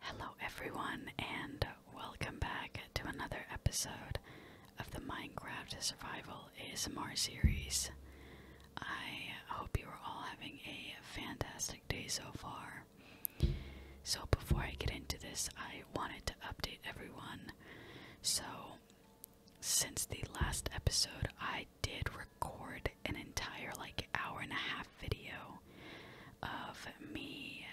Hello, everyone, and welcome back to another episode of the Minecraft Survival ASMR series. I hope you are all having a fantastic day so far. So, before I get into this, I wanted to update everyone. So, since the last episode, I did record an entire like hour and a half video of me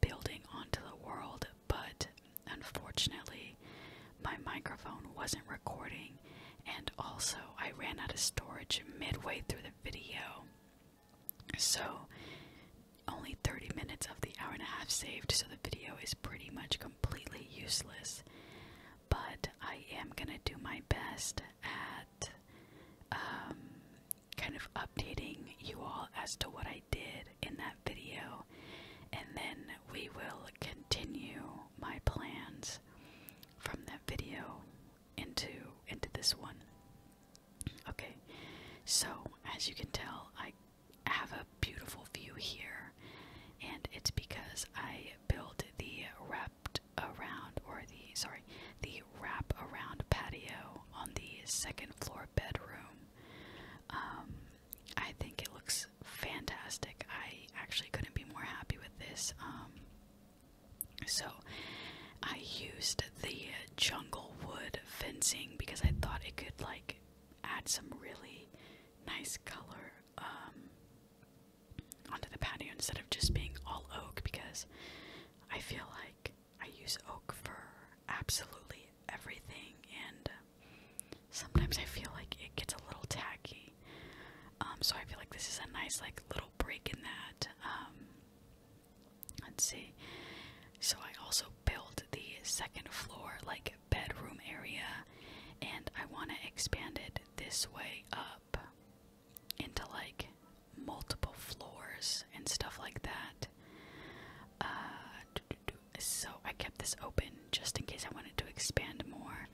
building onto the world, but unfortunately, my microphone wasn't recording, and also I ran out of storage midway through the video. So, only 30 minutes of the hour and a half saved, so the video is pretty much completely useless. But I am gonna do my best at um, kind of updating you all as to what I did in that video, and then we will continue my plans from that video into into this one. Okay, so as you can tell, I have a beautiful view here, and it's because I built the wrapped around or the sorry the wrap around patio on the second floor bedroom. Um, I think it looks fantastic. I actually couldn't be more happy with this. Um, so I used the jungle wood fencing because I thought it could like add some really nice color um, onto the patio instead of just being all oak because I feel like I use oak for absolutely everything, and uh, sometimes I feel like it gets a little tacky. Um, so I feel like this is a nice like little break in that. Um, let's see. So I also built the second floor like bedroom area, and I want to expand it this way up into like multiple floors and stuff like that. Uh, so I kept this open just in case I wanted to expand more.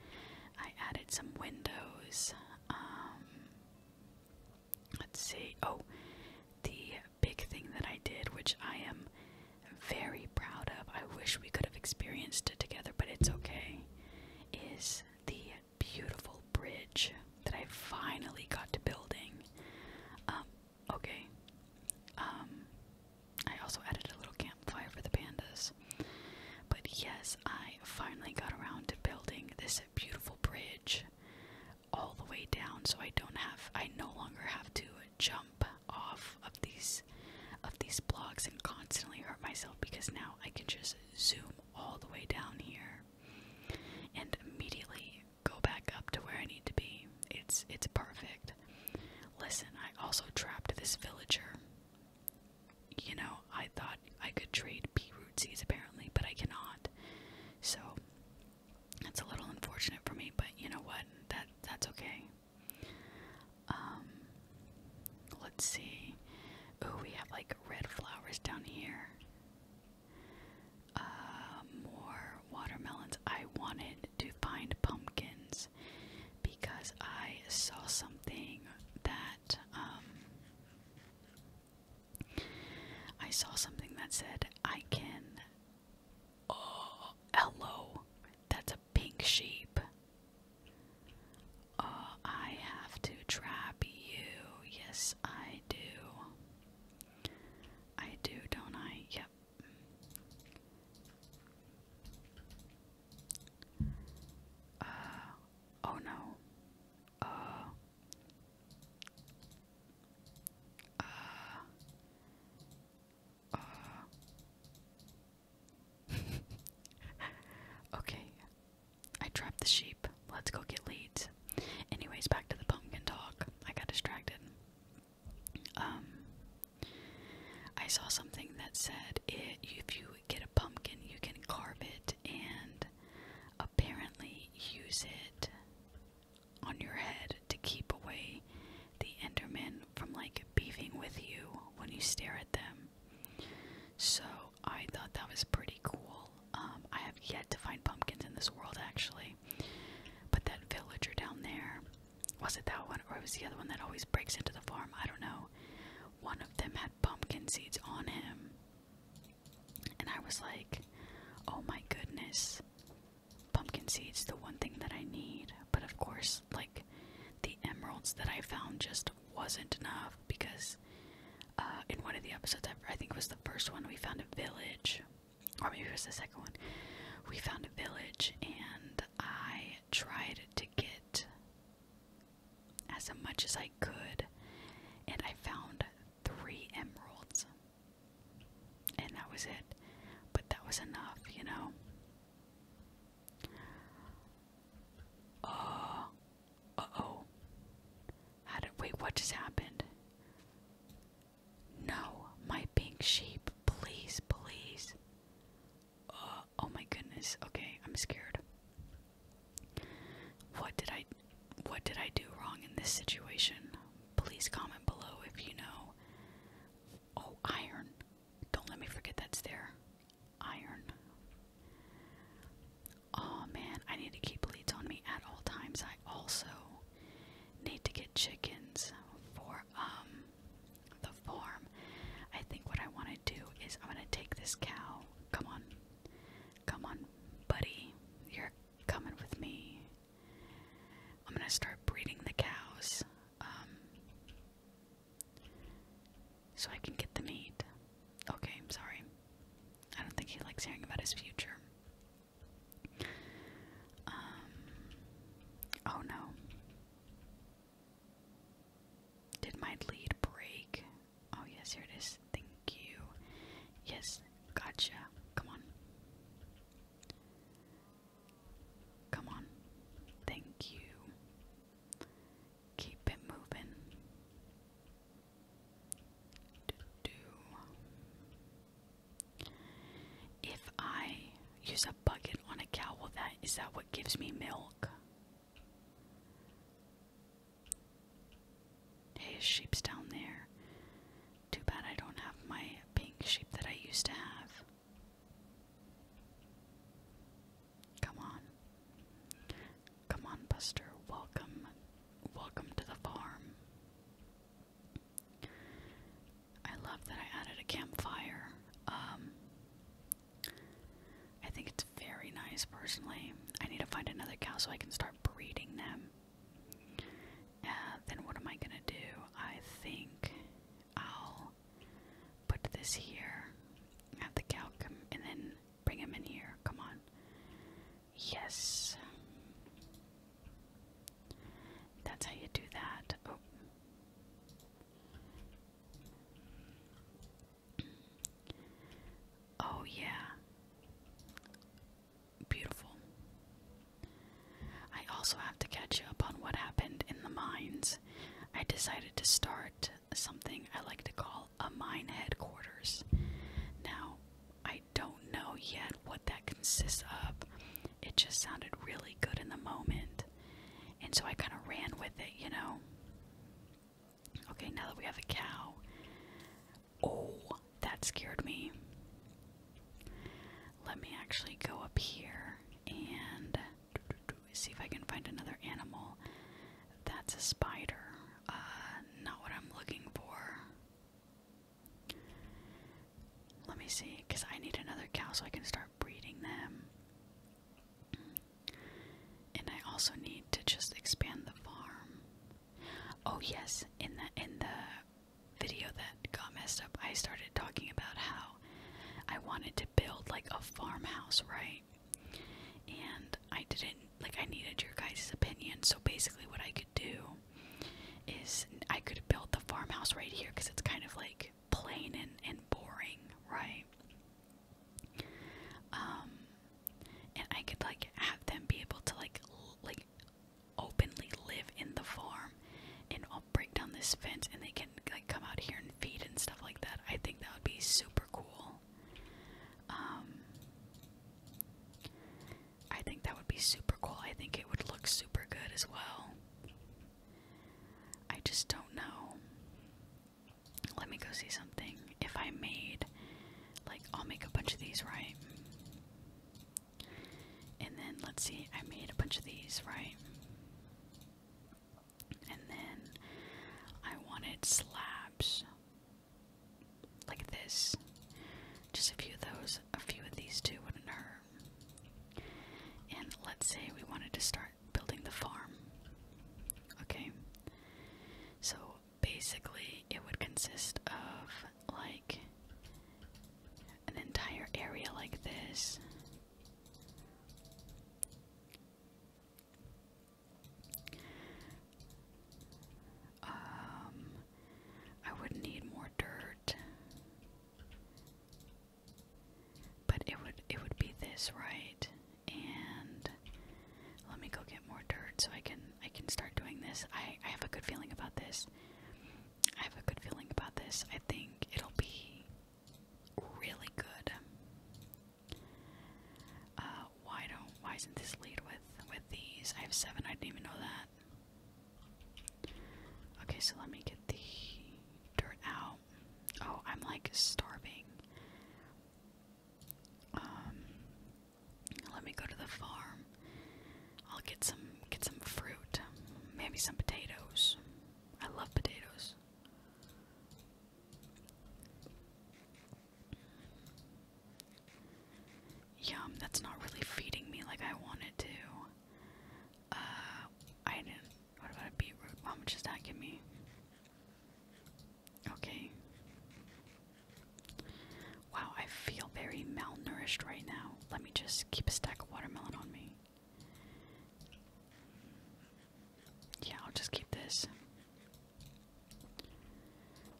I added some windows. Um, let's see. Oh, the big thing that I did, which I am very proud of, I wish we could have experienced it together, but it's okay, is the beautiful bridge that I finally got to building. Um, okay. Um, I also added a little campfire for the pandas. But yes, I finally got around to building this beautiful bridge all the way down so I don't have I no longer have to jump off of these of these blocks and constantly hurt myself because now I can just zoom all the way down here and immediately go back up to where I need to be. It's it's perfect. Listen, I also trapped this villager. You know, I thought I could trade pea root seeds apparently, but I cannot. So that's a little unfortunate for me, but you know what? That that's okay. Um let's see. Oh, we have like red flowers down here. Uh, more watermelons. I wanted to find pumpkins because I saw something that um, I saw something that said I can. Oh, that's a pink sheep. Uh, I have to trap you. Yes, I do. I do, don't I? Yep. Uh, oh no. Uh, uh, uh. okay. I trapped the sheep. Let's go get leads. Anyways, back to the pumpkin talk. I got distracted. Um, I saw something that said if you get a pumpkin, you can carve it and apparently use it on your head to keep away the Endermen from like beefing with you when you stare at them. So I thought that was pretty cool. Um, I have yet to find pumpkins in this world, actually. But that villager down there, was it that one or was the other one that always breaks into the farm? I don't know. One of them had pumpkin seeds on him. And I was like, oh my goodness. Pumpkin seeds, the one thing that I need. But of course, like, the emeralds that I found just wasn't enough because uh, in one of the episodes I think it was the first one. We found a village, or maybe it was the second one. We found a village, and I tried to get as much as I could, and I found three emeralds, and that was it. But that was enough, you know. Uh, oh wait, what just happened? No, my pink sheep, please, please. Uh, oh my goodness. Okay, I'm scared. What did I what did I do wrong in this situation? Please comment below if you know. Oh, iron. Don't let me forget that's there. Iron. Oh man, I need to keep leads on me at all times. I also need to get chickens for um the farm. I think what I want to do is I'm gonna take this cow. Come on, come on, buddy, you're coming with me. I'm gonna start breeding the cows, um, so I can get the meat. Okay, I'm sorry. I don't think he likes hearing about his future. Um, oh no. Did my lead break? Oh, yes, here it is. Thank you. Yes, gotcha. Come on. Come on. Thank you. Keep it moving. If I use a bucket on a cow, well that is that what gives me milk? his sheep's down there. Too bad I don't have my pink sheep that I used to have. Come on. Come on, Buster. Welcome. Welcome to the farm. I love that I added a campfire. Um, I think it's very nice personally. I need to find another cow so I can start breeding them. Uh, then what am I gonna do? I think I'll put this here, have the cow come, and then bring him in here. Come on. Yes. That's how you do that. Oh. oh. yeah. Beautiful. I also have to catch you up on what happened in the mines. I decided to start something I like to call a mine headquarters. Now, I don't know yet what that consists of. It just sounded really good in the moment. And so I kind of ran with it, you know. Okay, now that we have a cow. Oh, that scared me. Let me actually go up here and see if I can find another animal. That's a spider. Uh, not what I'm looking for. Let me see, because I need another cow so I can start breeding them. And I also need to just expand the farm. Oh yes, in the in the video that got messed up, I started talking about how I wanted to build like a farmhouse, right? And I didn't like I needed your guys' opinion, so basically what I could do is I could build the farmhouse right here because it's kind of like plain and, and boring, right? Um, and I could like have them be able to like like openly live in the farm, and I'll break down this fence, and they can like come out here and feed and stuff like that. I think that would be super cool. Um, I think that would be super cool. I think it would look super good as well. I just don't know. Let me go see something. If I made, like, I'll make a bunch of these, right? And then, let's see, I made a bunch of these, right? And then I wanted slabs. Like this. Just a few of those, a few of these two wouldn't hurt. And let's say we wanted to start building the farm. Okay? So basically, it would consist of like an entire area like this. Um, I would need more dirt. But it would it would be this, right? And let me go get more dirt so I can I can start doing this. I, I have a good feeling about this. I have a good feeling about this. I think it'll be really good. Uh why don't why isn't this lead with with these? I have seven, I didn't even know that. Okay, so let me get the dirt out. Oh, I'm like starving. Um, let me go to the farm. I'll get some get some fruit. Maybe some potatoes. I love potatoes. Yum, that's not really feeding me like I wanted to. Uh, I didn't. What about a beetroot? How much does that give me? Okay. Wow, I feel very malnourished right now. Let me just keep a stack of watermelon on me. Yeah, I'll just keep this.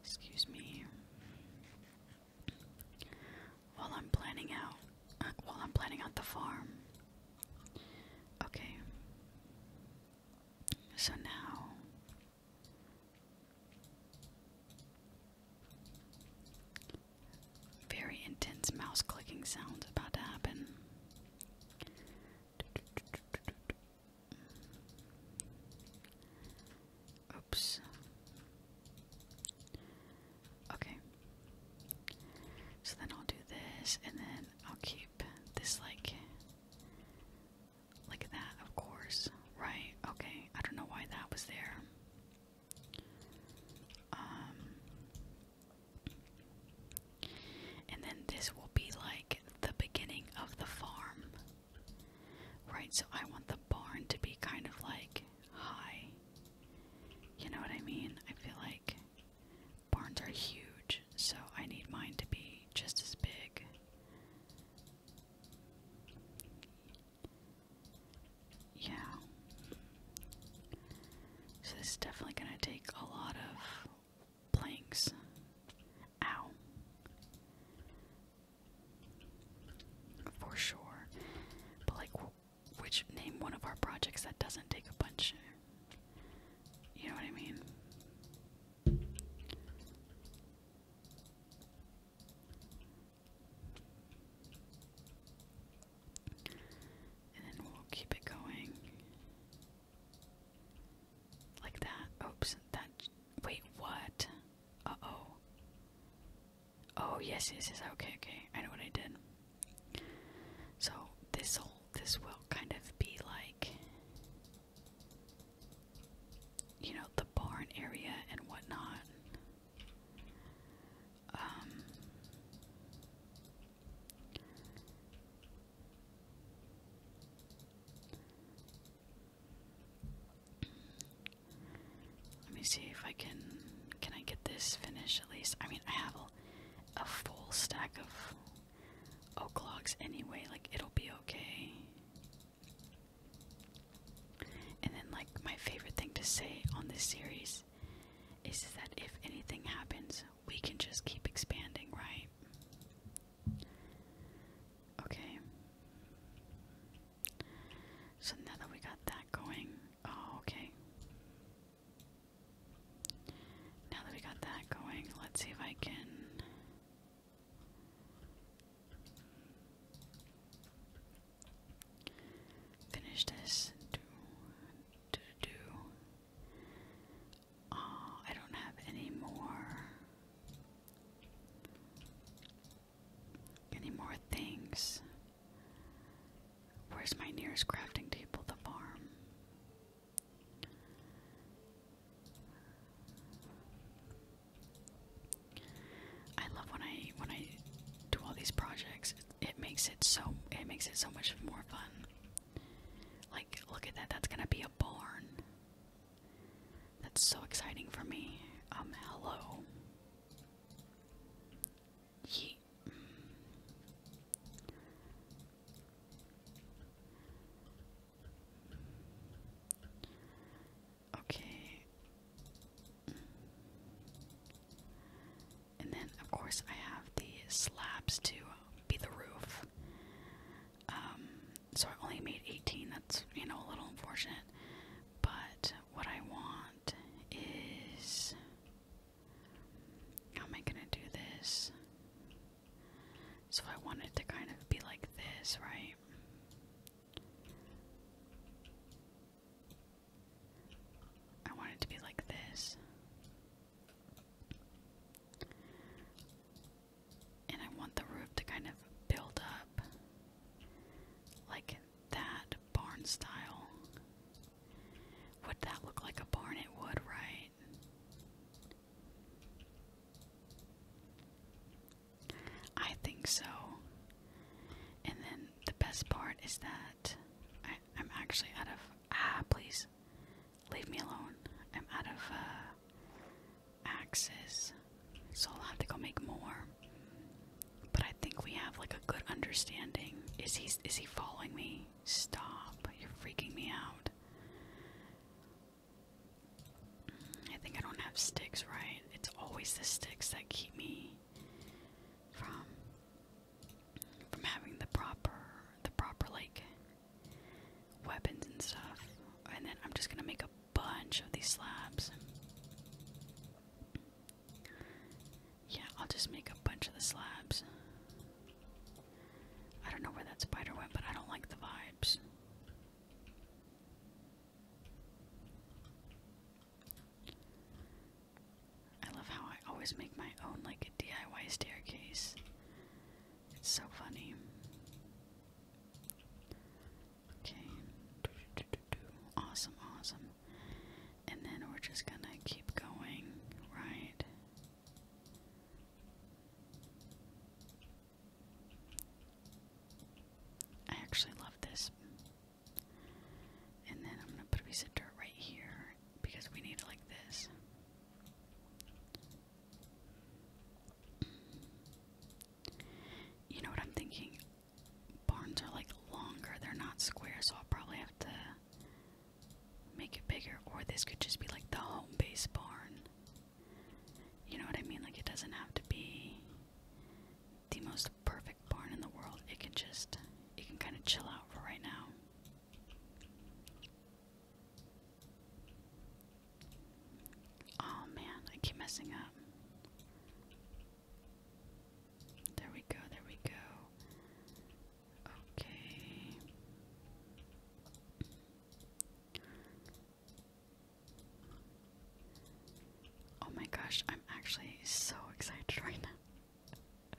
Excuse me. While I'm planning out, uh, while I'm planning out the farm. Okay. So now. Very intense mouse clicking sounds about to happen. Oops. Okay. So then I'll do this, and then I'll keep this like like that, of course. Right? Okay. I don't know why that was there. Um, and then this will be like the beginning of the farm. Right, so I want the barn to be kind of like high. You know what I mean? I feel like barns are huge, so I need mine to be just as big. Yeah. So this is definitely going to take a lot of planks. Ow. For sure. But like, which name one of our projects that doesn't take a bunch? You know what I mean? And then we'll keep it going like that. Oops, that. Wait, what? Uh oh. Oh yes, yes, yes. Okay, okay. I know what I did. So this will this will kind of be like you know the barn area and whatnot. Um. Let me see if I can can I get this finished at least. I mean, I have a, full stack of oak logs anyway. Like it'll be okay. And then, like my favorite thing to say on this series is that if anything happens, we can just keep expanding, right? Okay. So now that we got that going, oh, okay. Now that we got that going, let's see if I can. Finish this. Do, do, do. Oh, I don't have any more. Any more things? Where's my nearest crafting table? The farm. I love when I when I do all these projects. It, it makes it so it makes it so much more fun. Like look at that. That's gonna be a barn. That's so exciting for me. Um, hello. Okay. And then, of course, I have the slabs to be the roof. Um, so I only made 18. That's, you know, a little unfortunate. But what I want is how am I gonna do this? So I want it to kind of be like this, right? I want it to be like this. And I want the roof to kind of build up like that barn style. Would that look like a barn? It would, right? I think so. And then the best part is that I, am actually out of. Ah, please leave me alone. I'm out of uh, axes so I'll have to go make more. But I think we have like a good understanding. Is he is he following me? Stop. You're freaking me out. I think I don't have sticks, right? It's always the sticks that keep me from from having the proper the proper like weapons and stuff. And then I'm just gonna make a bunch of these slabs. Yeah, I'll just make a bunch of the slabs. I don't know where that spider went, but I don't like the vibes. I love how I always make my own like a DIY staircase. It's so funny. Okay. Awesome, awesome and then we're just gonna keep going, right? I actually love this. And then I'm gonna put a piece of dirt right here because we need it like this. You know what I'm thinking? barns are like longer, they're not square, so I'll probably have to make it bigger. Or this could just be like the home base barn. You know what I mean? Like, it doesn't have to be the most perfect barn in the world. It can just, it can kind of chill out for right now. Oh man, I keep messing up. There we go, there we go. Okay. Oh my gosh, I'm actually so excited right now.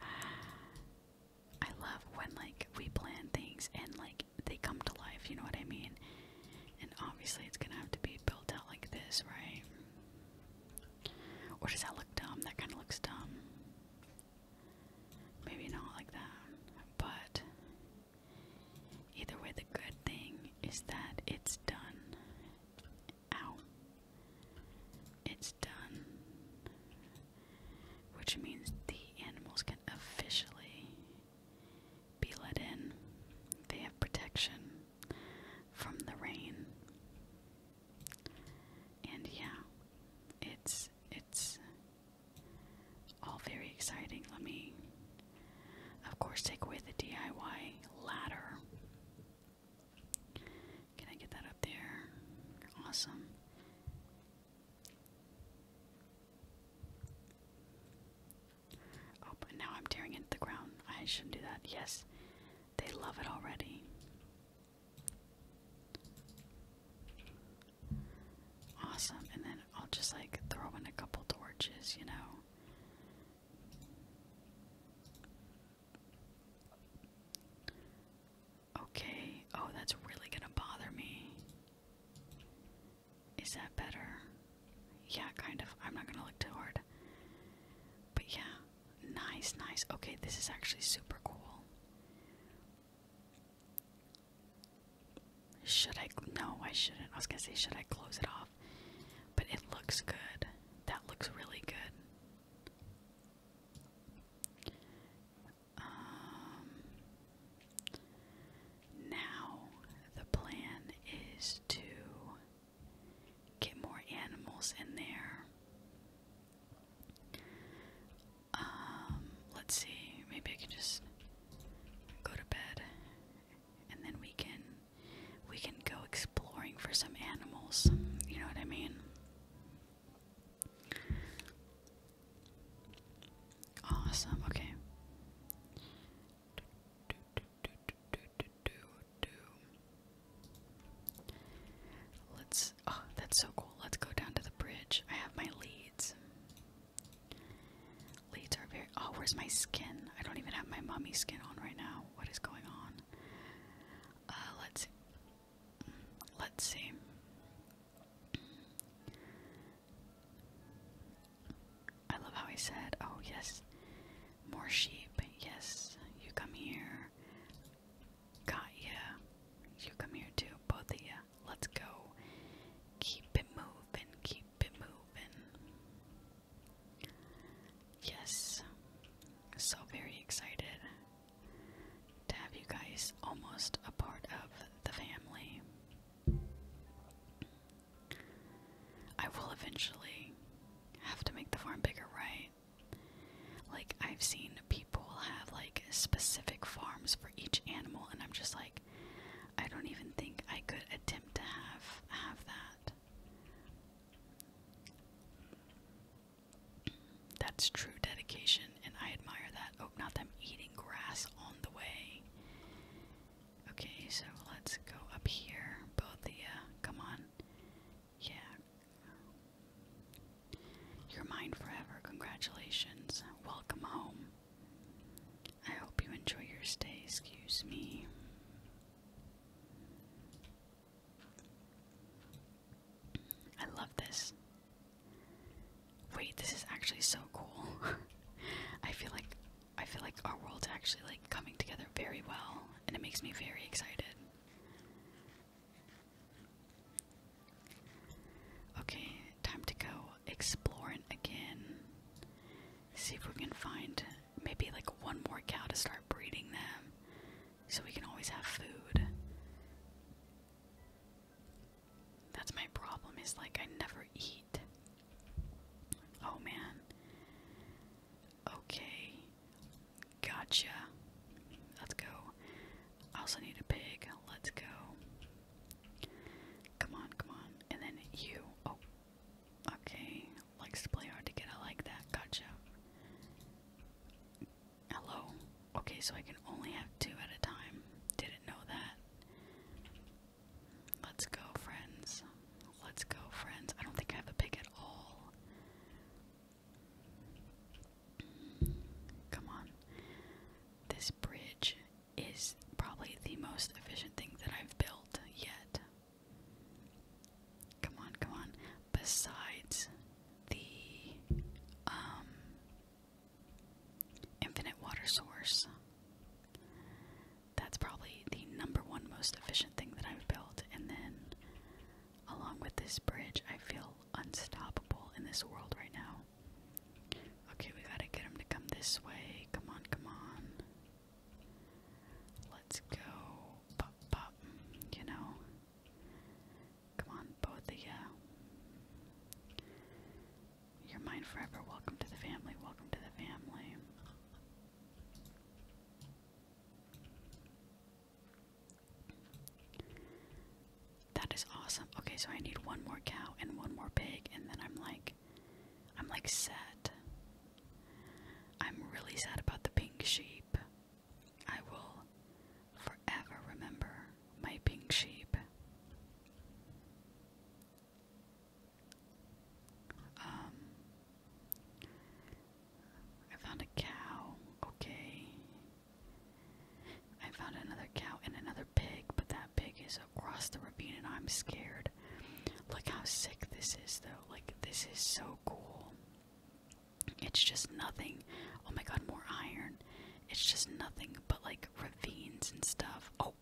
I love when like we plan things and like they come to life, you know what I mean? And obviously it's gonna have to be built out like this, right? Or does that look dumb? That kind of looks dumb. Maybe not like that. But either way, the good thing is that it's done. Ow. It's done. Which means the animals can officially be let in. They have protection from the rain. And yeah, it's it's all very exciting. Let me of course take away the DIY ladder. Can I get that up there? Awesome. Oh, now I'm tearing into the ground. I shouldn't do that. Yes. They love it already. Awesome. And then I'll just like throw in a couple torches, you know. Okay. Oh, that's really gonna bother me. Is that better? Yeah, kind of. I'm not gonna look too But yeah, Nice, nice. Okay, this is actually super cool. Should I? No, I shouldn't. I was gonna say, should I close it off? But it looks good. That looks really good. Um, now the plan is to get more animals in there. Um, let's see, maybe I can just go to bed and then we can we can go exploring for some animals. You know what I mean? Awesome, okay. Let's. Oh, that's so cool. Let's go down to the bridge. I have my leads. Leads are very. Oh, where's my skin? I don't even have my mummy skin on right now. What is going on? Uh, let's Let's see. I love how he said, Oh, yes, more sheep. Yes, you come here. Got ya. You come here too, both of ya. Let's go. Keep it moving. Keep it moving. Yes. So very excited to have you guys almost a part of the family. I will eventually have to make the farm bigger, right? Like, I've seen people have like specific farms for each animal, and I'm just like, I don't even think I could attempt to have have that. That's true dedication, and I admire that. Oh, not them eating grass on the way. Okay, so let's go up here. Bothia, come on. Yeah. You're mine forever. Congratulations. Welcome home. I hope you enjoy your stay. Excuse me. I love this. Wait, this is actually so cool. I feel like I feel like our world's actually like coming together very well and it makes me very excited. Okay, time to go exploring again. See if we can find maybe like one more cow to start breeding them so we can always have food. That's my problem is like I never eat. Oh man. Okay. Gotcha. Let's go. I also need a pig. Let's go. Come on, come on. And then you. Oh. Okay. Likes to play hard to get. I like that. Gotcha. Hello. Okay, so I can only have two at a time. Didn't know that. Let's go, friends. Let's go, friends. I don't think I have a pig at all. Come on. This bridge is probably the most efficient thing that I've built yet. Come on, come on. Besides the um, infinite water source. That's probably the number one most efficient thing that I've built. And then Along with this bridge, I feel unstoppable in this world right now. Okay, we gotta get him to come this way. Come on, come on. Let's go. Pop, pop, you know. Come on, both of you. You're mine forever. Welcome to the family. Welcome to the family. That is awesome. Okay, so I need one more cow and one more pig, and then I'm like, I'm like set. I'm really sad about the pink sheep. I will forever remember my pink sheep. Um, I found a cow. Okay. I found another cow and another pig, but that pig is across the ravine and I'm scared. Look how sick this is, though. Like, this is so cool. It's just nothing. Oh my god, more iron. It's just nothing but like ravines and stuff. Oh.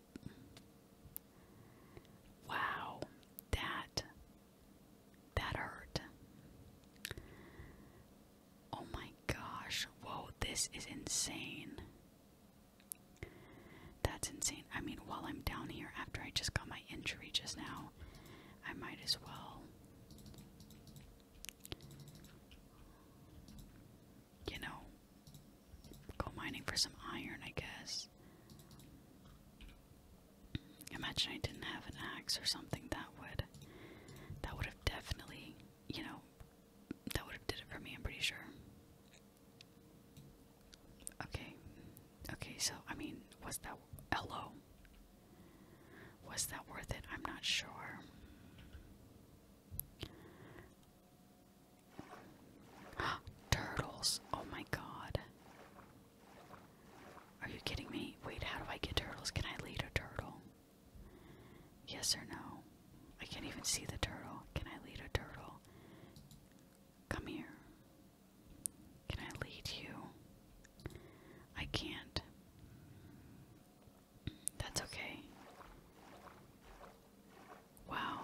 Wow. That that hurt. Oh my gosh. Whoa, this is insane. That's insane. I mean, while I'm down here after I just got my injury just now, I might as well. You know, go mining for some iron, I guess. Imagine I didn't have an axe or something that would that would have definitely, you know, that would have did it for me, I'm pretty sure. Okay. Okay, so I mean, was that lo? Was that worth it? I'm not sure. Turtles. Oh my god. Are you kidding me? Wait, how do I get turtles? Can I lead a turtle? Yes or no? I can't even see the turtle. Can I lead a turtle? Come here. Can I lead you? I can't. That's okay. Wow.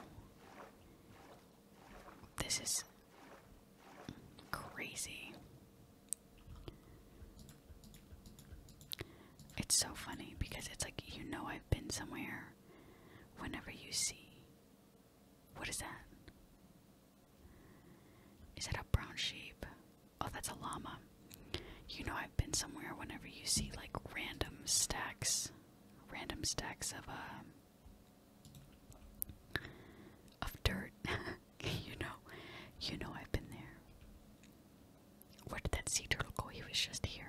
This is crazy. It's so funny because it's like you know I've been somewhere whenever you see. What is that? Is that a brown sheep? Oh, that's a llama. You know I've been somewhere whenever you see like random stacks, random stacks of uh, of dirt. you know, you know I've been there. Where did that sea turtle go? He was just here.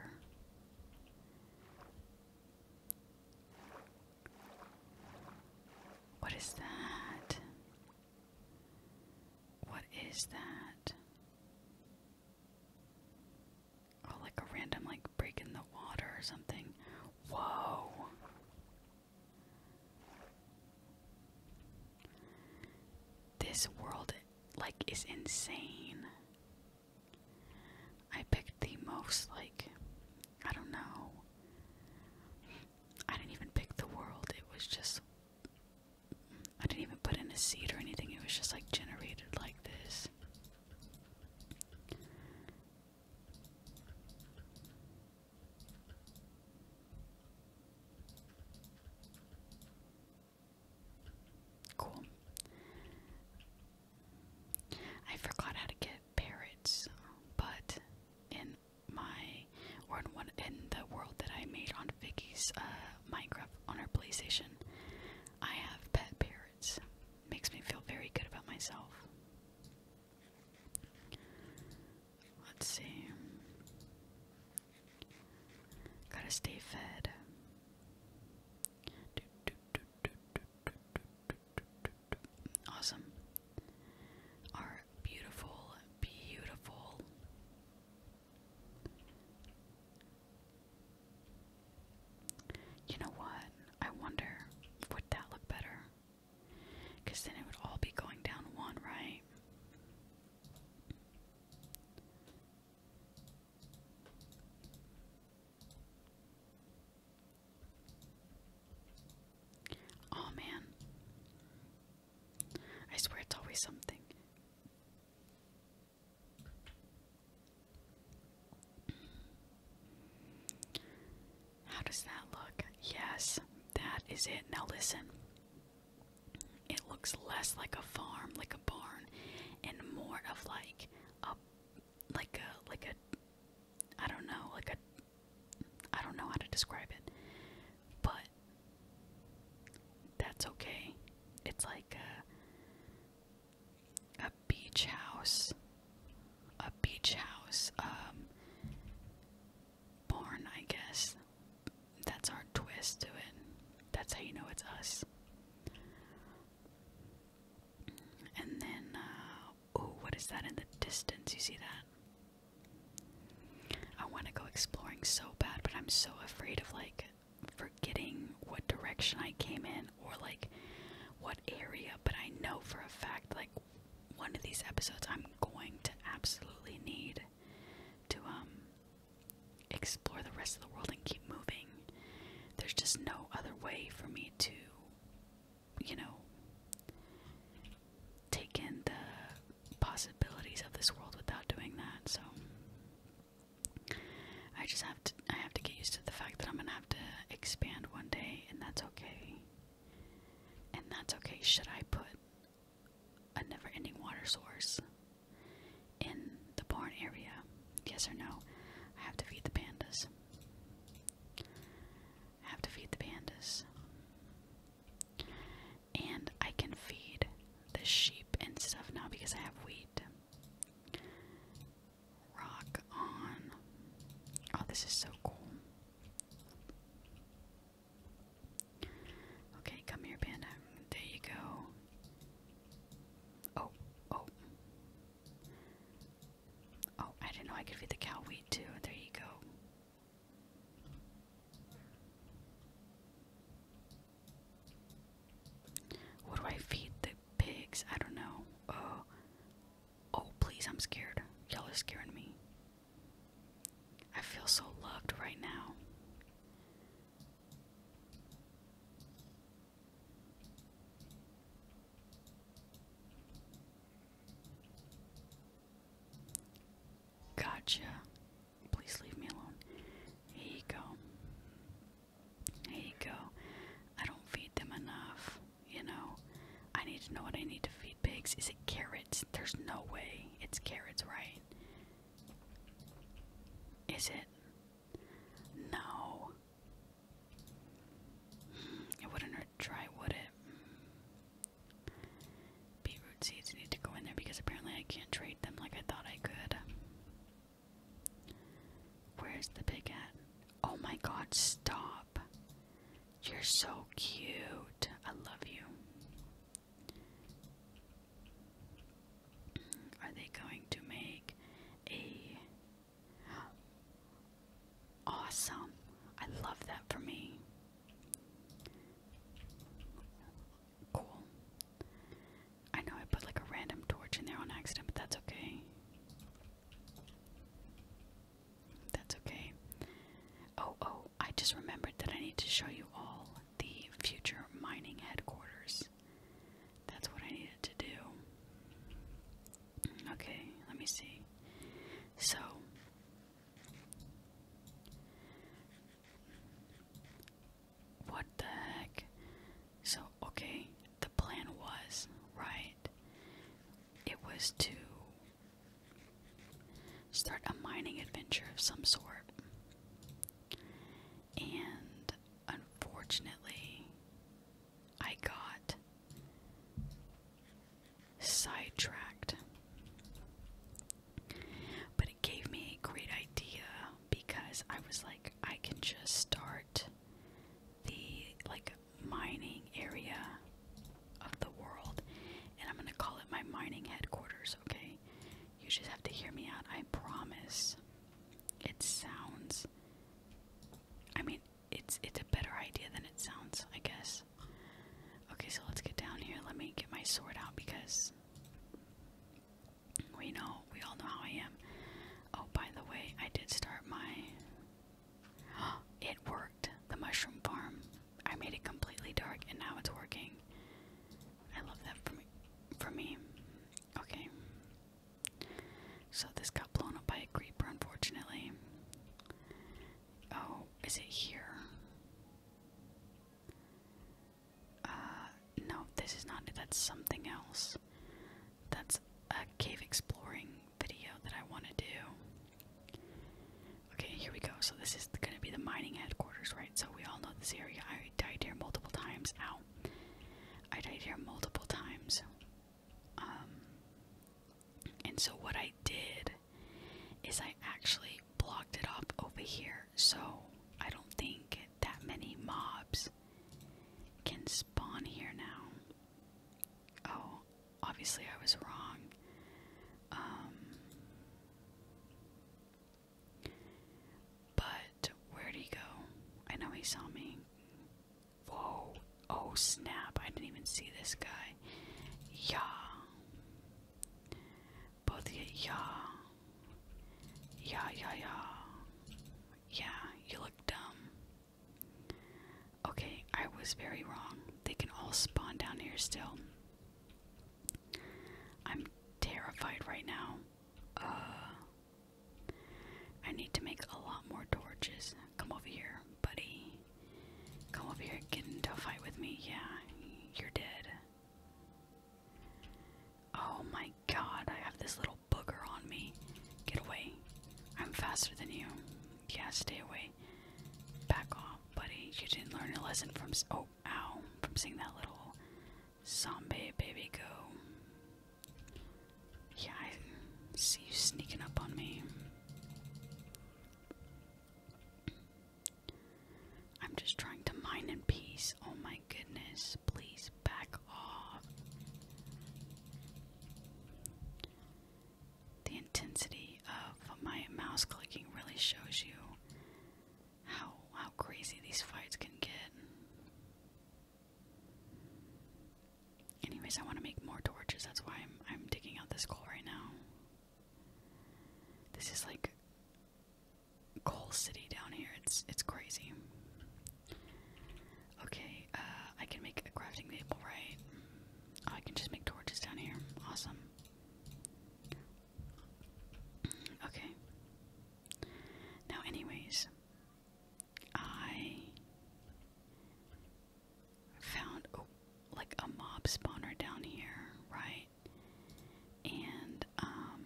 What is that? What is that? Oh, like a random, like, break in the water or something. Whoa. This world like is insane. I picked the most like I don't know. I didn't even pick the world. It was just I didn't even put in a seed or anything. It was just like generated like this. Cool. I forgot how to get parrots, but in my or in one in the world that I made on Vicky's uh, Minecraft on her PlayStation, I have pet parrots. Makes me feel very good about myself. Let's see. Gotta stay fed. Awesome. Our beautiful, beautiful. You know what? I wonder, would that look better? Because then it would all be going down one, right? Oh man. I swear it's always something. How does that look? Yes, that is it. Now listen. It looks less like a farm, like a barn, and more of like a like a like a I don't know, like a I don't know how to describe it. But that's okay. It's like a a beach house. A beach house. Um born, I guess. That's our twist to it. That's how you know it's us. And then, uh, what is that in the distance? You see that? I want to go exploring so bad, but I'm so afraid of like forgetting what direction I came in or like what area, but I know for a fact like one of these episodes I'm going to absolutely need to um, explore the rest of the world and keep moving. There's just no other way for me to you know take in the possibilities of this world without doing that. So I just have to I have to get used to the fact that I'm going to have to expand one day and that's okay. And that's okay. Should I put a never ending water source in the barn area? Yes or no? I have to feed the pandas. I have to feed the pandas. And I can feed the sheep and stuff now because I have wheat. Rock on. Oh, this is so cool. Okay, come here, Panda. There you go. Oh, oh. Oh, I didn't know I could feed the cow too. There you go. What do I feed the pigs? I don't know. Oh, oh, please! I'm scared. Y'all are scaring me. I feel so loved right now. Gotcha. Please leave me alone. Here you go. Here you go. I don't feed them enough, you know. I need to know what I need to feed pigs. Is it carrots? There's no way it's carrots, right? Is it? No. Hmm, it wouldn't hurt to try, would it? Hmm. Beetroot seeds need to go in there because apparently I can't trade them like I thought I could. Where's the pig at? Oh my god, stop. You're so cute. I love you. Are they going to make a awesome? I love that for me. Cool. I know I put like a random torch in there on accident, but that's okay. That's okay. Oh, oh, I just remembered that I need to show you all the future mining headquarters. That's what I needed to do. Okay, let me see. So, what the heck? So, okay, the plan was, right? It was to start a mining adventure of some sort. And unfortunately, I got sidetracked. But it gave me a great idea because I was like, I can just start the like mining area of the world, and I'm gonna call it my mining headquarters, okay? You just have to hear me out, I promise. It sounds I mean it's it's a better idea than it sounds, I guess. Okay, so let's get down here. Let me get my sword out because we know we all know how I am. Oh, by the way, I did start my. it worked. The mushroom farm. I made it completely dark and now it's working. I love that for me. Okay. So this got blown up by a creeper, unfortunately. Oh, is it here? Uh, no, this is not it. That's something else. That's a cave exploring video that I want to do. Okay, here we go. So this is going to be the mining headquarters, right? So we all know this area. I died here multiple times. Ow. I died here multiple times. Um, and so what I did is I actually blocked it off over here. So I don't think that many mobs can spawn here now. Oh, obviously I was wrong. Um, but where'd he go? I know he saw me. Whoa. Oh, snap. I didn't even see this guy. Yeah. Both yeah. Yeah, yeah, yeah. Yeah, you look dumb. Okay, I was very wrong. They can all spawn down here still. I'm terrified right now. Uh, I need to make a lot more torches. Come over here, buddy. Come over here, get into a fight with me. Yeah, you're dead. Oh my god, I have this little booger on me. Get away. I'm faster than you. Yeah, stay away. Back off, buddy. You didn't learn a lesson from. Oh, Oh, ow, from seeing that little zombie baby go. Yeah, I see you sneaking up on me. I'm just trying to mine in peace. Oh my goodness, please back off. The intensity of my mouse clicking really shows you how how crazy these fights can get. Anyways, I want to make more torches. That's why I'm I'm digging out this coal right now. This is like coal city down here. It's it's crazy. Okay, uh, I can make a crafting table, right? Oh, I can just make torches down here. Awesome. Okay. Now, anyways, I found oh, like a mob spawner down here, right? And um,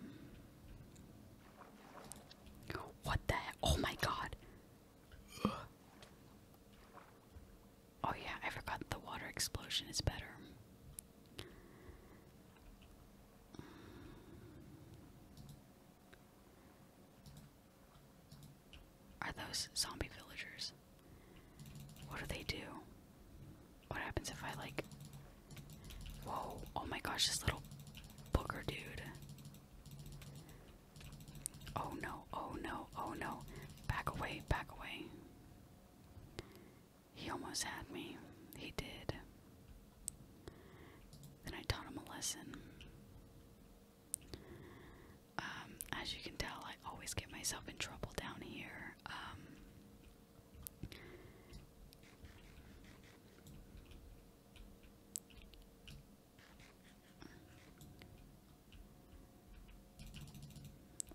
what the Oh my god! Oh, yeah, I forgot the water explosion is better. Are those zombie villagers? What do they do? What happens if I, like. Whoa, oh my gosh, this little booger dude. Oh no, oh no, oh no. Back away, back away. He almost had me. He did. Then I taught him a lesson. Um, as you can tell, I always get myself in trouble down here. Um,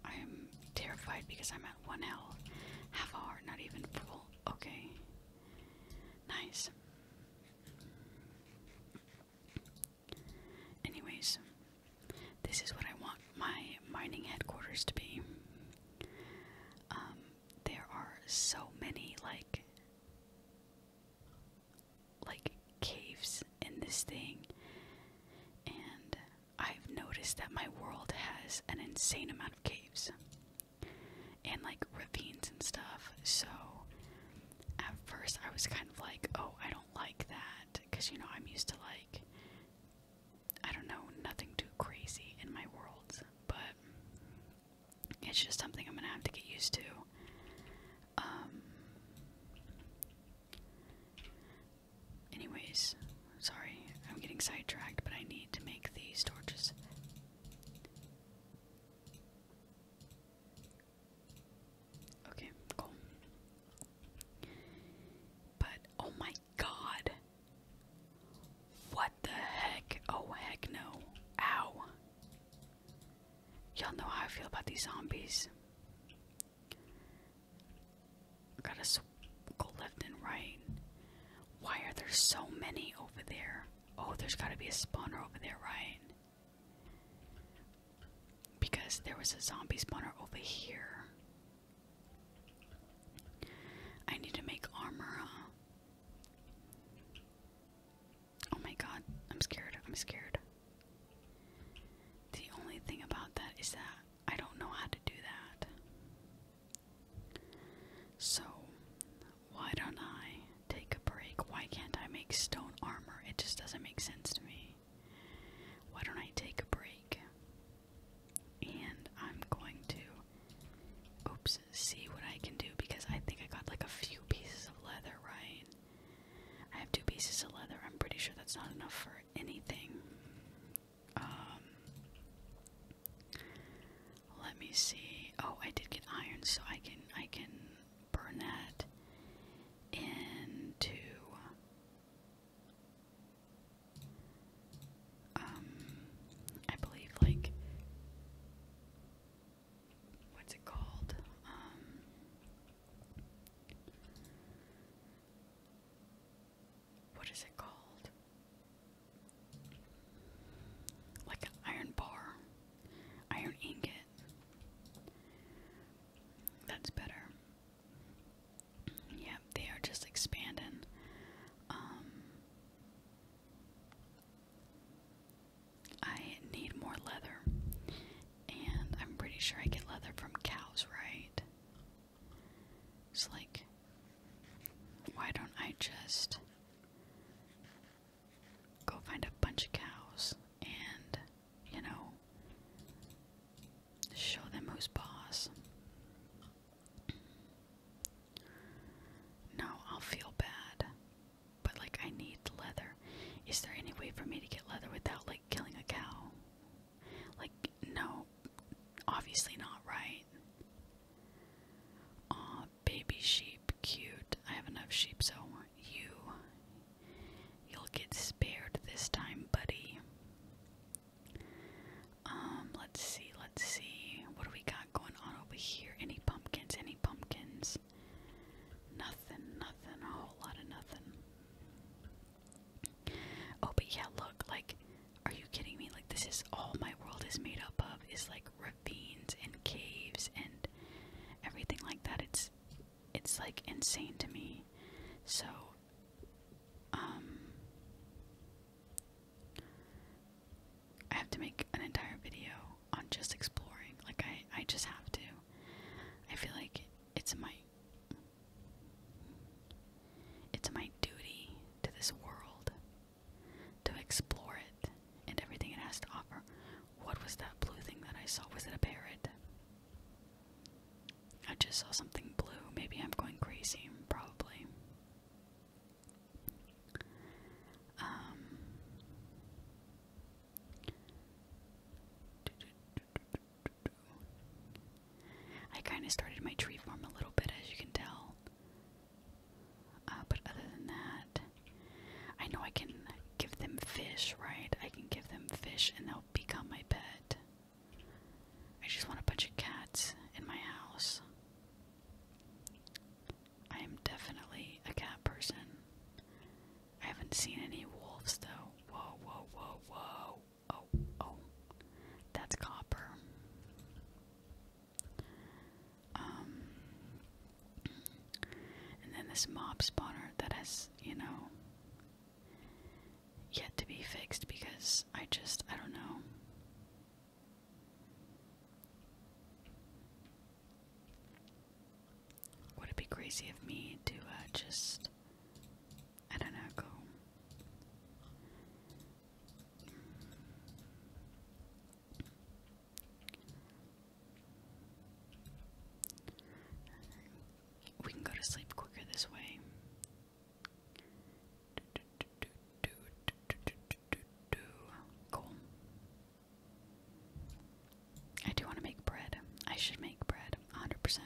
I am terrified because I'm at one L. Half hour, not even full. Okay. Nice. Anyways, this is what I want my mining headquarters to be. Um, there are so many like like caves in this thing and I've noticed that my world has an insane amount of caves and like ravines and stuff. So at first I was kind of like, oh, I don't like that because you know, I'm used to like, I don't know, nothing too crazy in my worlds, but it's just something I'm gonna have to get used to. Um, Anyways, sorry, I'm getting sidetracked, but I need to make these torches. Okay, cool. But, oh my god! What the heck? Oh, heck no. Ow. Y'all know how I feel about these zombies. Gotta go left and right. Why are there so many over there? Oh, there's gotta be a spawner over there, right? Because there was a zombie spawner over here. I need to make armor, Oh my god, I'm scared. I'm scared. The only thing about that is that I don't know how to do that. So, why don't I take a break? Why can't I make stone armor? It just doesn't make sense to me. Why don't I take a break? And I'm going to, oops, see what I can do because I think I got like a few pieces of leather, right? I have two pieces of leather. I'm pretty sure that's not enough for anything. Um, let me see. Oh, I did get iron, so I can I can burn that into um, I believe like what's it called? Um, what is it called? Like an iron bar, iron ingot. That's better. Yeah, they are just expanding. Um, I need more leather, and I'm pretty sure I get leather from cows, right? It's like, why don't I just go find a bunch of cows and, you know, show them who's boss? No, I'll feel bad. But, like, I need leather. Is there any way for me to get leather without, like, killing a cow? Like, no, obviously not right. Aw, baby sheep, cute. I have enough sheep, so you. You'll get spared this time, buddy. Um, let's see, let's see. What do we got going on over here? Any pumpkins? Any pumpkins? Nothing, nothing, a whole lot of nothing. Oh, but yeah, look, like, are you kidding me? Like, this is all my world is made up of is like ravines and caves and everything like that. It's it's like insane to me. So um I have to make an entire video on just exploring. Like I I just have to. I feel like it's my it's my duty to this world to explore it and everything it has to offer. What was that blue thing that I saw? Was it a parrot? I just saw something blue. Maybe I'm going crazy, probably. Um, I kind of started my tree form a little bit, as you can tell. Uh, but other than that, I know I can give them fish, right? I can give them fish and they'll become my pet. I just want a bunch of cats in my house. I am definitely a cat person. I haven't seen any wolves though. Whoa, whoa, whoa, whoa. Oh, oh, that's copper. Um, and then this mob spawner that has, you know, yet to be fixed because I just, I don't know. Would it be crazy of me to uh, just I don't know, go. We can go to sleep quicker this way. Cool. I do want to make bread. I should make bread, 100%.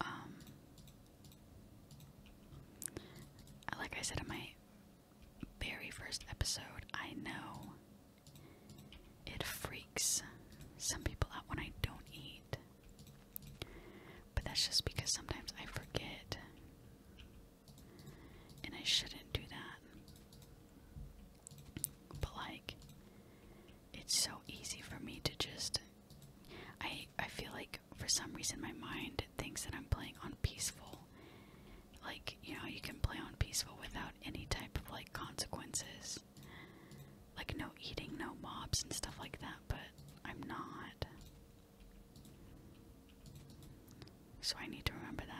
Um, like I said in my very first episode, I know it freaks some people out when I don't eat. But that's just because sometimes I forget. And I shouldn't do that. But, like, it's so easy for me to just. I I feel like for some reason my mind thinks that I'm playing on peaceful. Like, you know, you can play on peaceful without any type of like consequences. Like no eating, no mobs and stuff like that, but I'm not. So I need to remember that.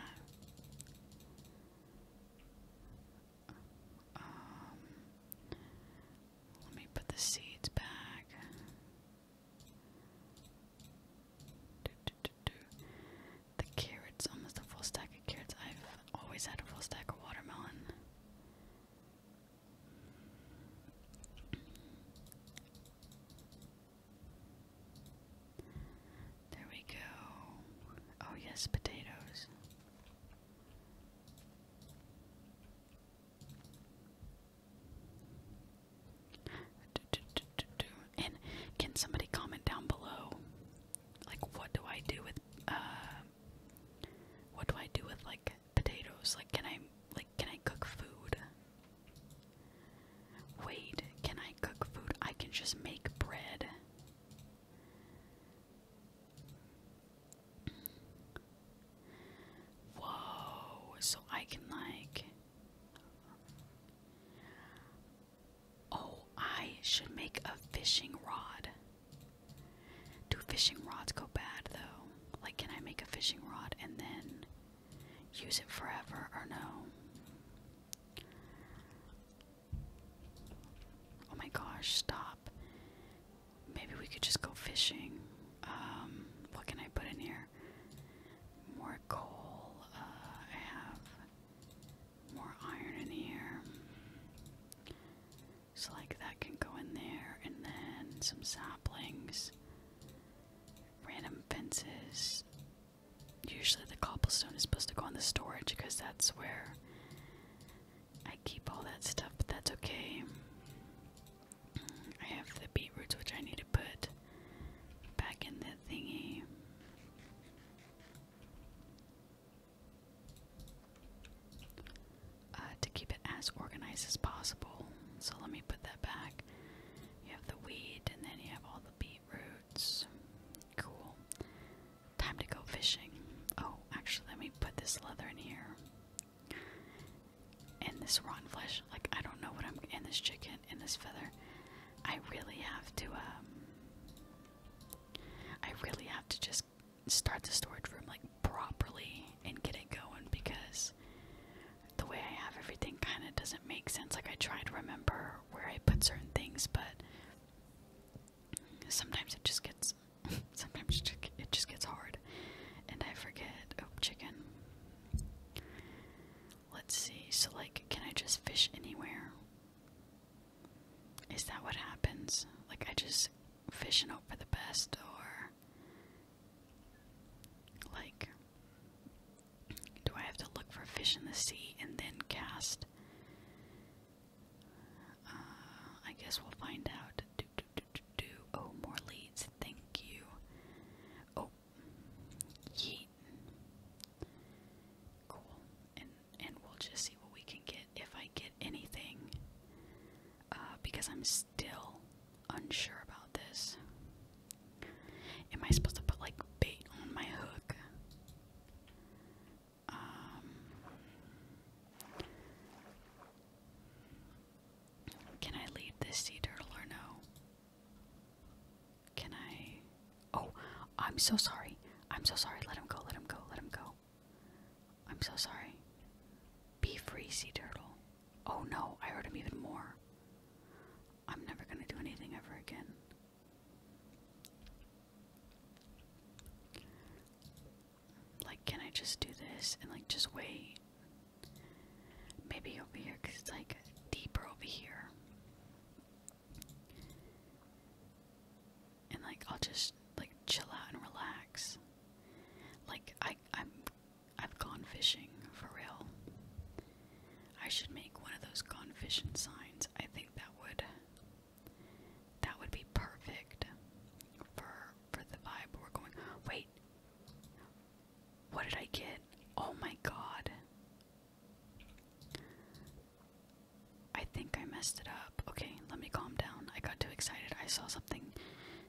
Um, let me put the seeds back. Do, do, do, do. almost a full stack of carrots. I've always had a full stack of watermelon. There we go. Oh, yes, potatoes. And can somebody comment down below, like what do I do with uh, what do I do with like potatoes? Like, can I like can I cook food? Wait, can I cook food? I can just make bread. Whoa, so I can like. Oh, I should make a fishing rod. Do fishing rods go bad though? Like, can I make a fishing rod and then use it forever or no? Oh my gosh, stop maybe we could just go fishing. Um, what can I put in here? More coal. Uh, I have more iron in here. So, like, that can go in there, and then some saplings, random fences. Usually, the cobblestone is supposed to go on the storage because that's where I keep all that stuff, but that's okay. I have the beetroots, which I need to put back in that thingy. Uh, to keep it as organized as possible. So let me put that back. You have the weed, and then you have all the beetroots. Cool. Time to go fishing. Oh, actually, let me put this leather in here and this rotten flesh. Like I don't know what I'm in this chicken and this feather. I really have to. Um, I really have to just start the storage room like properly and get it going because the way I have everything kind of doesn't make sense. Like I try to remember where I put certain things, but sometimes it just gets Sometimes it just gets hard, and I forget. Oh, chicken. Let's see. So, like, can I just fish anywhere? Is that what happens? Like, I just fishing out for the best, or like, do I have to look for fish in the sea and then cast? Uh, I guess we'll find out do, do, do. Oh, more leads. Thank you. Oh, yeet. Cool. And and we'll just see what we can get if I get anything. Uh, because I'm still unsure about this. Am I supposed to put like bait on my hook? Um. Can I lead this sea turtle or no? Can I? Oh, I'm so sorry. I'm so sorry. Let him go. Let him go. Let him go. I'm so sorry. Be free, sea turtle. Oh no, I hurt him even more. I'm never gonna do anything ever again. Like, can I just do this and like just wait? Maybe over here because it's like deeper over here. And like I'll just like chill out and relax. Like I I'm I've gone fishing for real. I should make one of those gone fishing signs. I think that would that would be perfect for for the vibe we're going. Wait, what did I get? Oh my god. I think I messed it up. Okay, let me calm down. I got too excited. I saw something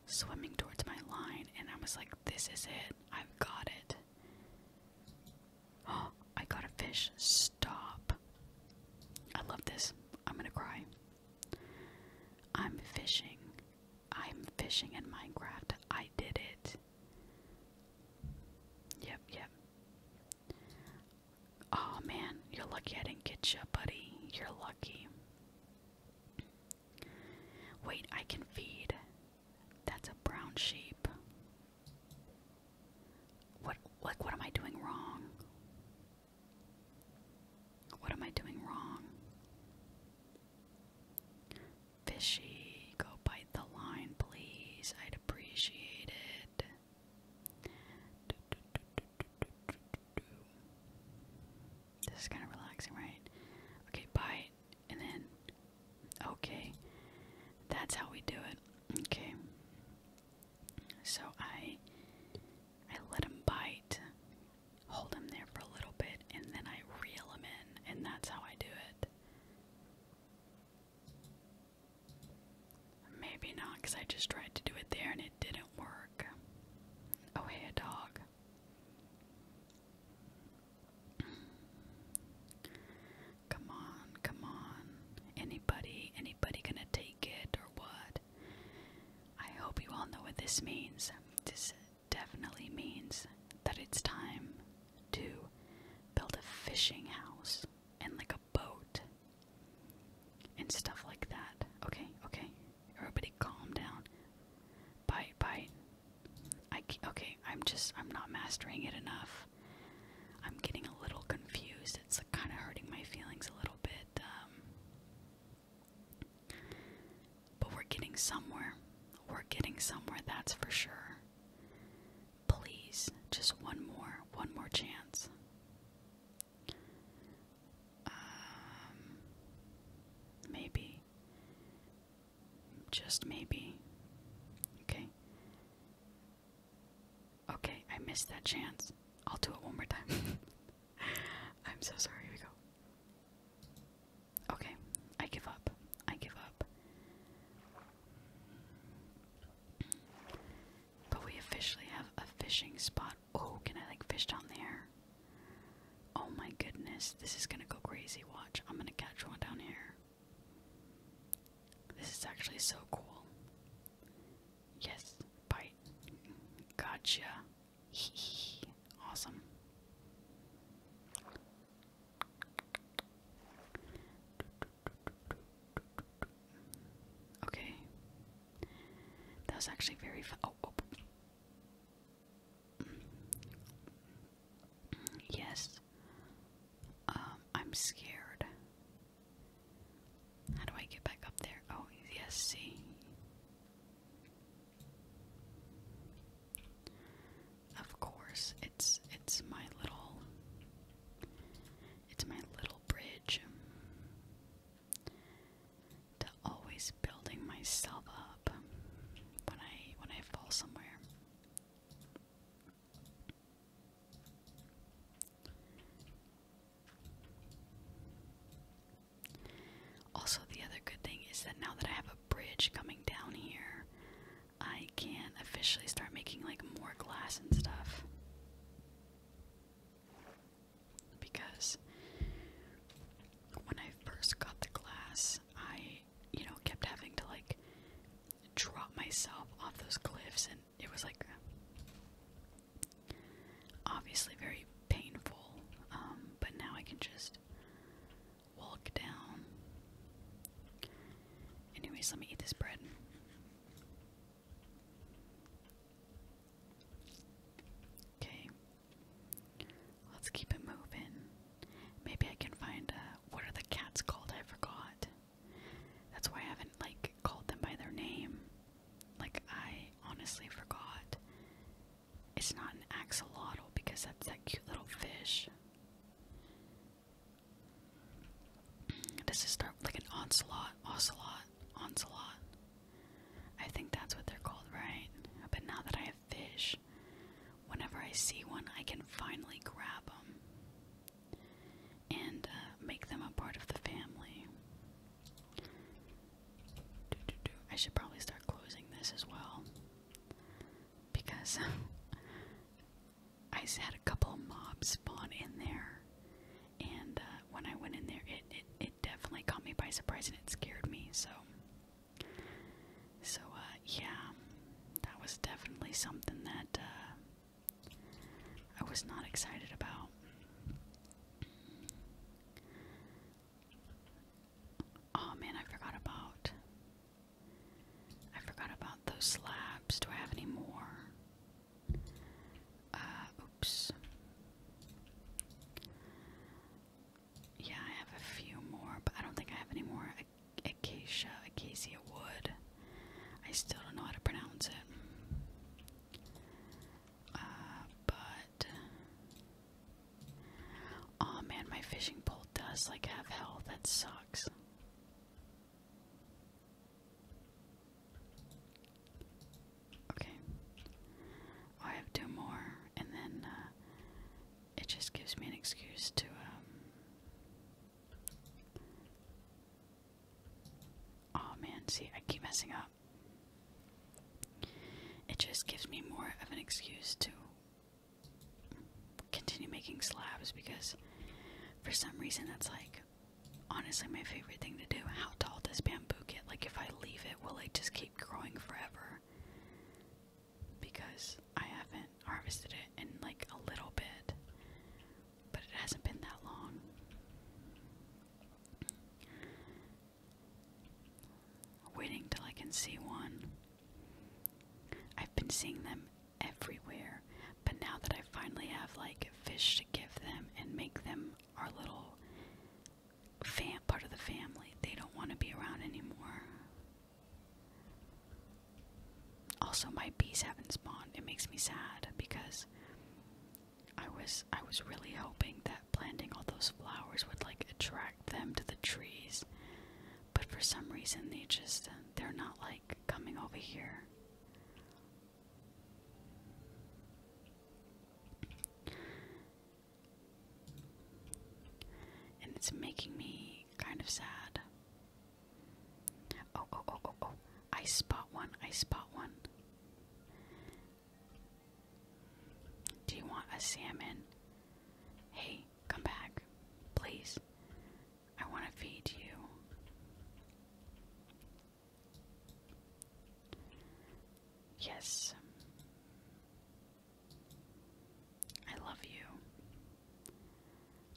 swimming towards my line and I was like, this is it. I've got it. Oh, I got a fish. Stop. I love this. I'm gonna cry. I'm fishing. I'm fishing in Minecraft. I did it. Yep, yep. Oh man, you're lucky I didn't get you, buddy. You're lucky. Wait, I can feed. That's a brown sheep. What like what am I doing wrong? What am I doing wrong? Fishy, go bite the line, please. I'd appreciate it. This is kind of relaxing, right? Okay, bite, and then. Okay, that's how we do it. Okay. So I I let him bite hold them there for a little bit, and then I reel them in, and that's how I do it. Maybe not, because I just tried to do it there and it didn't work. Oh, hey, dog. come on, come on. Anybody, anybody gonna take it or what? I hope you all know what this means definitely means that it's time to build a fishing house and like a boat and stuff like that. Okay, okay. Everybody calm down. Bite, bite. I okay, I'm just I'm not mastering it enough. I'm getting a little confused. It's kind of hurting my feelings a little bit. Um, but we're getting somewhere. We're getting somewhere, that's for sure. Please, just one more, one more chance. Um, maybe. Just maybe. Okay. Okay, I missed that chance. I'll do it one more time. I'm so sorry. Here we go. Okay, I give up. I give up. But we officially have a fishing spot. Oh, can I like fish down there? Oh my goodness, this is gonna go crazy. Watch, I'm gonna catch one down here. This is actually so cool. Yes, bite. Gotcha. awesome. Okay. That was actually very fun. Oh, oh, Yes. Um, I'm scared. How do I get back up there? Oh, yes, see. Of course, it's it's my little it's my little bridge to always building myself up when I when I fall somewhere. Also, the other good thing is that now that I have a bridge coming down here, I can officially start making like more glass and stuff. Because when I first got the glass, I, you know, kept having to like drop myself off those cliffs, and it was like obviously very painful. Um, but now I can just walk down. Anyways, let me eat this bread. Okay. Let's keep it moving. Maybe I can find a. Uh, what are the cats called? I forgot. That's why I haven't like called them by their name. Like I honestly forgot. It's not an axolotl because that's that cute little fish. Does it start like an ocelot, ocelot, ocelot? I think that's what they're called, right? But now that I have fish, whenever I see one, I can finally grab them and uh, make them a part of the family. I should probably start closing this as well because I had a couple mobs spawn in there, and uh, when I went in there, it, it it definitely caught me by surprise and it scared me. So, so uh, yeah, that was definitely something that uh, I was not excited about. Oh man, I forgot about. I forgot about those slabs. Do I have any more? Uh, oops. Yeah, I have a few more, but I don't think I have any more acacia, acacia wood. I still don't know how to pronounce it. Uh, but oh man, my fishing pole does like have hell. That sucks. Okay. Oh, I have two more, and then uh, it just gives me an excuse to. Um, oh man, see, I keep messing up. It just gives me more of an excuse to continue making slabs because for some reason that's like honestly my favorite thing to do. How tall does bamboo get? Like if I leave it, will it just keep growing forever? Because I haven't harvested it in like a little bit, but it hasn't been that long. Waiting till I can see one. I've been seeing them everywhere, but now that I finally have like fish to give them and make them our little fam part of the family, they don't want to be around anymore. Also, my bees haven't spawned. It makes me sad because I was I was really hoping that planting all those flowers would like attract them to the trees. But for some reason, they just, uh, they're not like coming over here. And it's making me kind of sad. Oh, oh, oh, oh, oh. I spot one. I spot one. Do you want a salmon? Hey, come back, please. I want to feed you. Yes. I love you.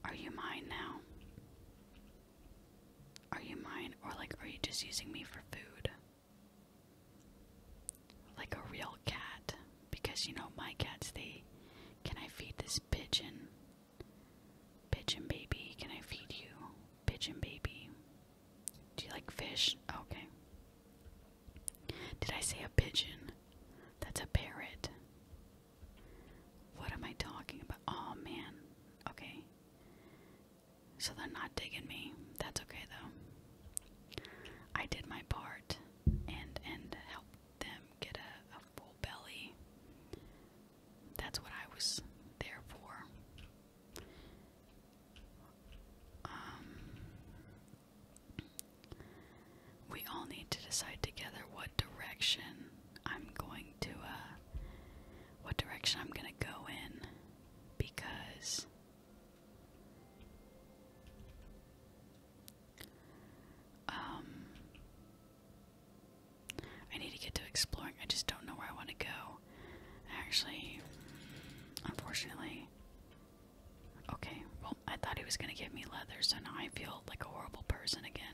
Are you mine now? Are you mine? Or, like, are you just using me for food? like a real cat because you know my cats they can I feed this pigeon pigeon baby can I feed you pigeon baby do you like fish okay did I say a pigeon that's a parrot what am I talking about oh man okay so they're not digging me that's okay though I did my part and and helped them get a, full belly. That's what I was there for. Um, we all need to decide together what direction I'm going to, uh, what direction I'm going to go in because um, I need to get to exploring. I just don't know where I want to go. Actually, unfortunately. Okay, well, I thought he was going to give me leathers, and I feel like a horrible person again.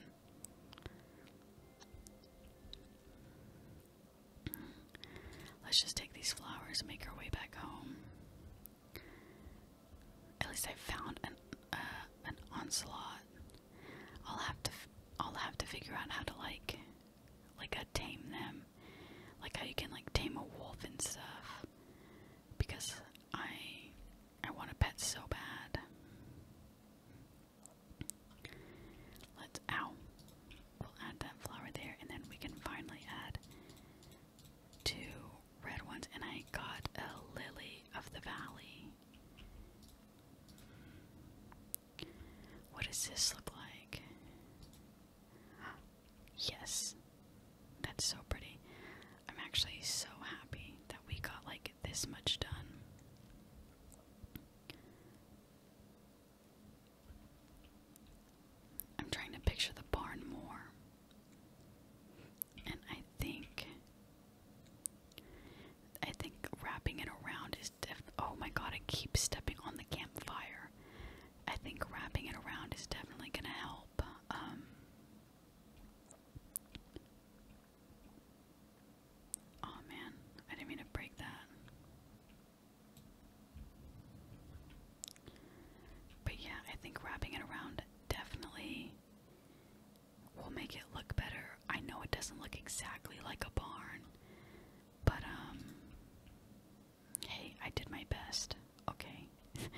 Let's just take these flowers and make our way back home. At least I found an uh, an onslaught. I'll have to f I'll have to figure out how to like like uh, tame them, like how you can like tame a wolf and stuff. Because I I want a pet so bad. Let's ow. We'll add that flower there, and then we can finally add two red ones, and I got a lily of the valley. What does this look like? Yes, that's so pretty. I'm actually so happy that we got like this much done. I'm trying to picture the barn more. And I think I think wrapping it around is def oh my god, I keep stepping on the campfire. I think wrapping it around is definitely gonna help. Um, oh man, I didn't mean to break that. But yeah, I think wrapping it around definitely will make it look better. I know it doesn't look exactly like a barn, but um hey, I did my best. Okay.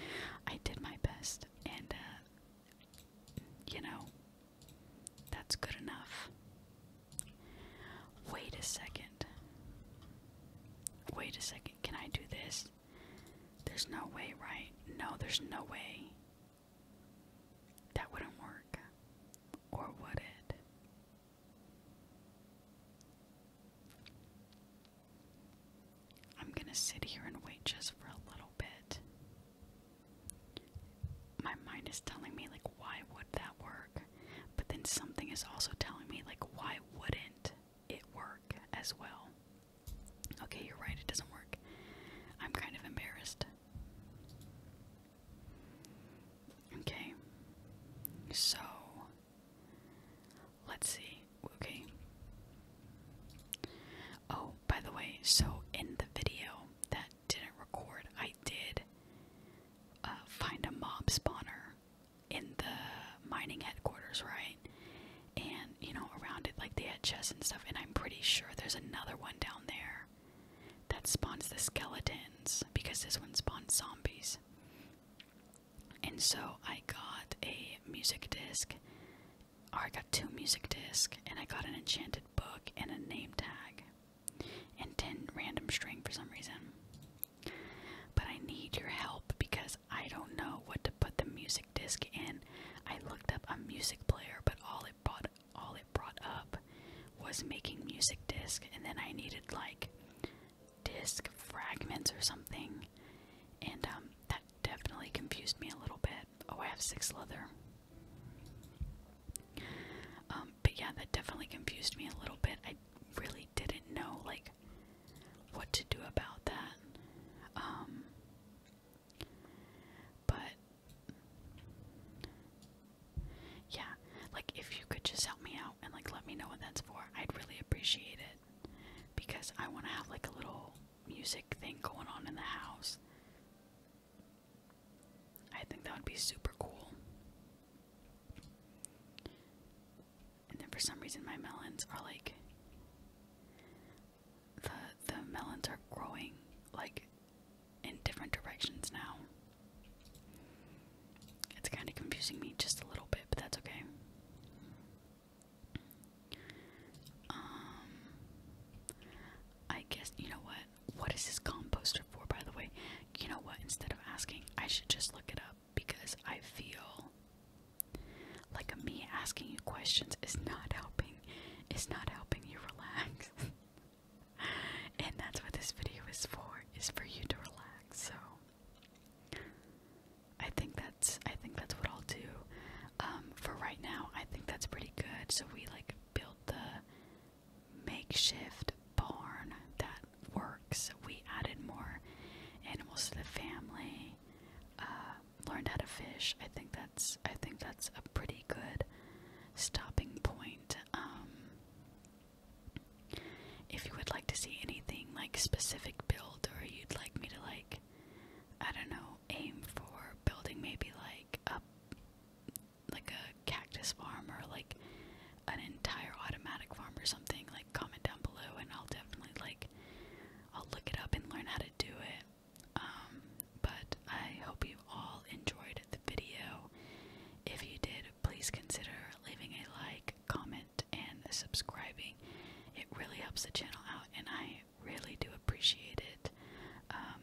I did my best and uh you know that's good enough. Wait a second. Wait a second. Can I do this? There's no way, right? No, there's no way. That wouldn't work. Or would it? I'm gonna sit here and wait just for a little bit. My mind is telling me, like, why would that work? But then something is also telling me, like, why wouldn't? it work as well? Okay, you're right, it doesn't work. I'm kind of embarrassed. Okay, so let's see. Okay. Oh, by the way, so in the video that didn't record, I did uh, find a mob spawner in the mining headquarters, right? And you know, around it, like the chests and stuff. And I'm pretty sure there's another one down there that spawns the skeletons because this one spawns zombies. And so I got a music disc, or I got two music discs, and I got an enchanted book and a name tag, and 10 random string for some reason. But I need your help because I don't know what to put the music disc in. I looked up a music player, but all it brought all it brought up was making music disc, and then I needed like disc fragments or something, and um, that definitely confused me a little bit. Oh, I have six leather. Um, but yeah, that definitely confused me a little bit. I really didn't know like what to do about that. Um, but yeah, like if you could just help me out and like let me know what that's for, I'd really appreciate it because I want to have like a little music thing going on in the house. I think that would be super cool. And then for some reason my melons are like the the melons are growing like in different directions now. It's kind of confusing me just a little bit, but that's okay. Um I guess you know what? What is this composter for by the way? You know what? Instead of asking, I should just look it up because I feel like me asking you questions is not helping is not helping you relax. and that's what this video is for, is for you to relax. So I think that's I think that's what I'll do. Um, for right now, I think that's pretty good. So we like built the makeshift barn that works. We added more animals to the family uh, learned how to fish. I think that's I think that's a pretty good stopping point. Um, if you would like to see anything like specific build, or you'd like me to like, I don't know, aim for building maybe like a like a cactus farm or like an entire automatic farm or something, like comment down below, and I'll definitely like I'll look it up and learn how to do it. Um, but I hope you all enjoyed the video. If you did, please consider leaving a like, comment, and subscribing. It really helps the channel out, and I really do appreciate it. Um,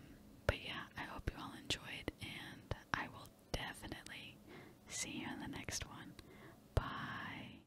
but yeah, I hope you all enjoyed, and I will definitely see you in the next one. Bye.